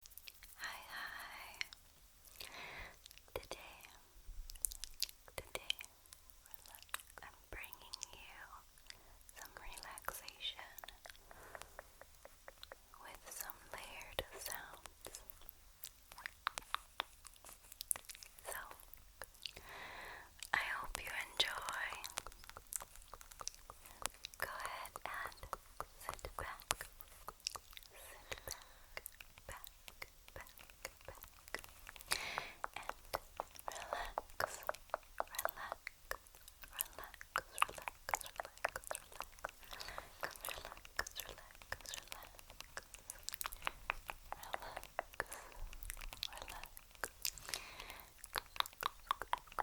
Hi, hi. Today, today, I'm bringing you some relaxation with some layered sounds. So, I hope you enjoy. Go ahead and sit back. Sit back, back, back, back, and relax, relax, relax, relax, relax, relax, relax, relax, relax. Relax, relax.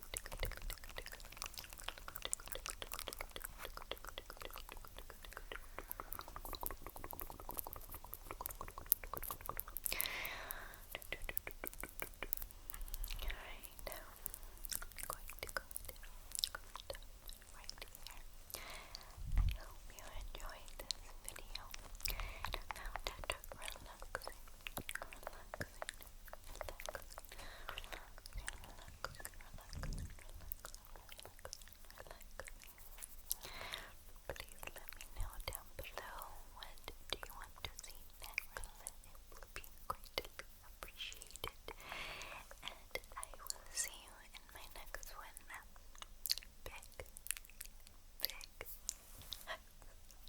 Alright, now I'm going to go down, down right here. I hope you enjoyed this video and found it relaxing. Please let me know down below what do you want to see next. It will be greatly appreciated. And I will see you in my next one. Big, big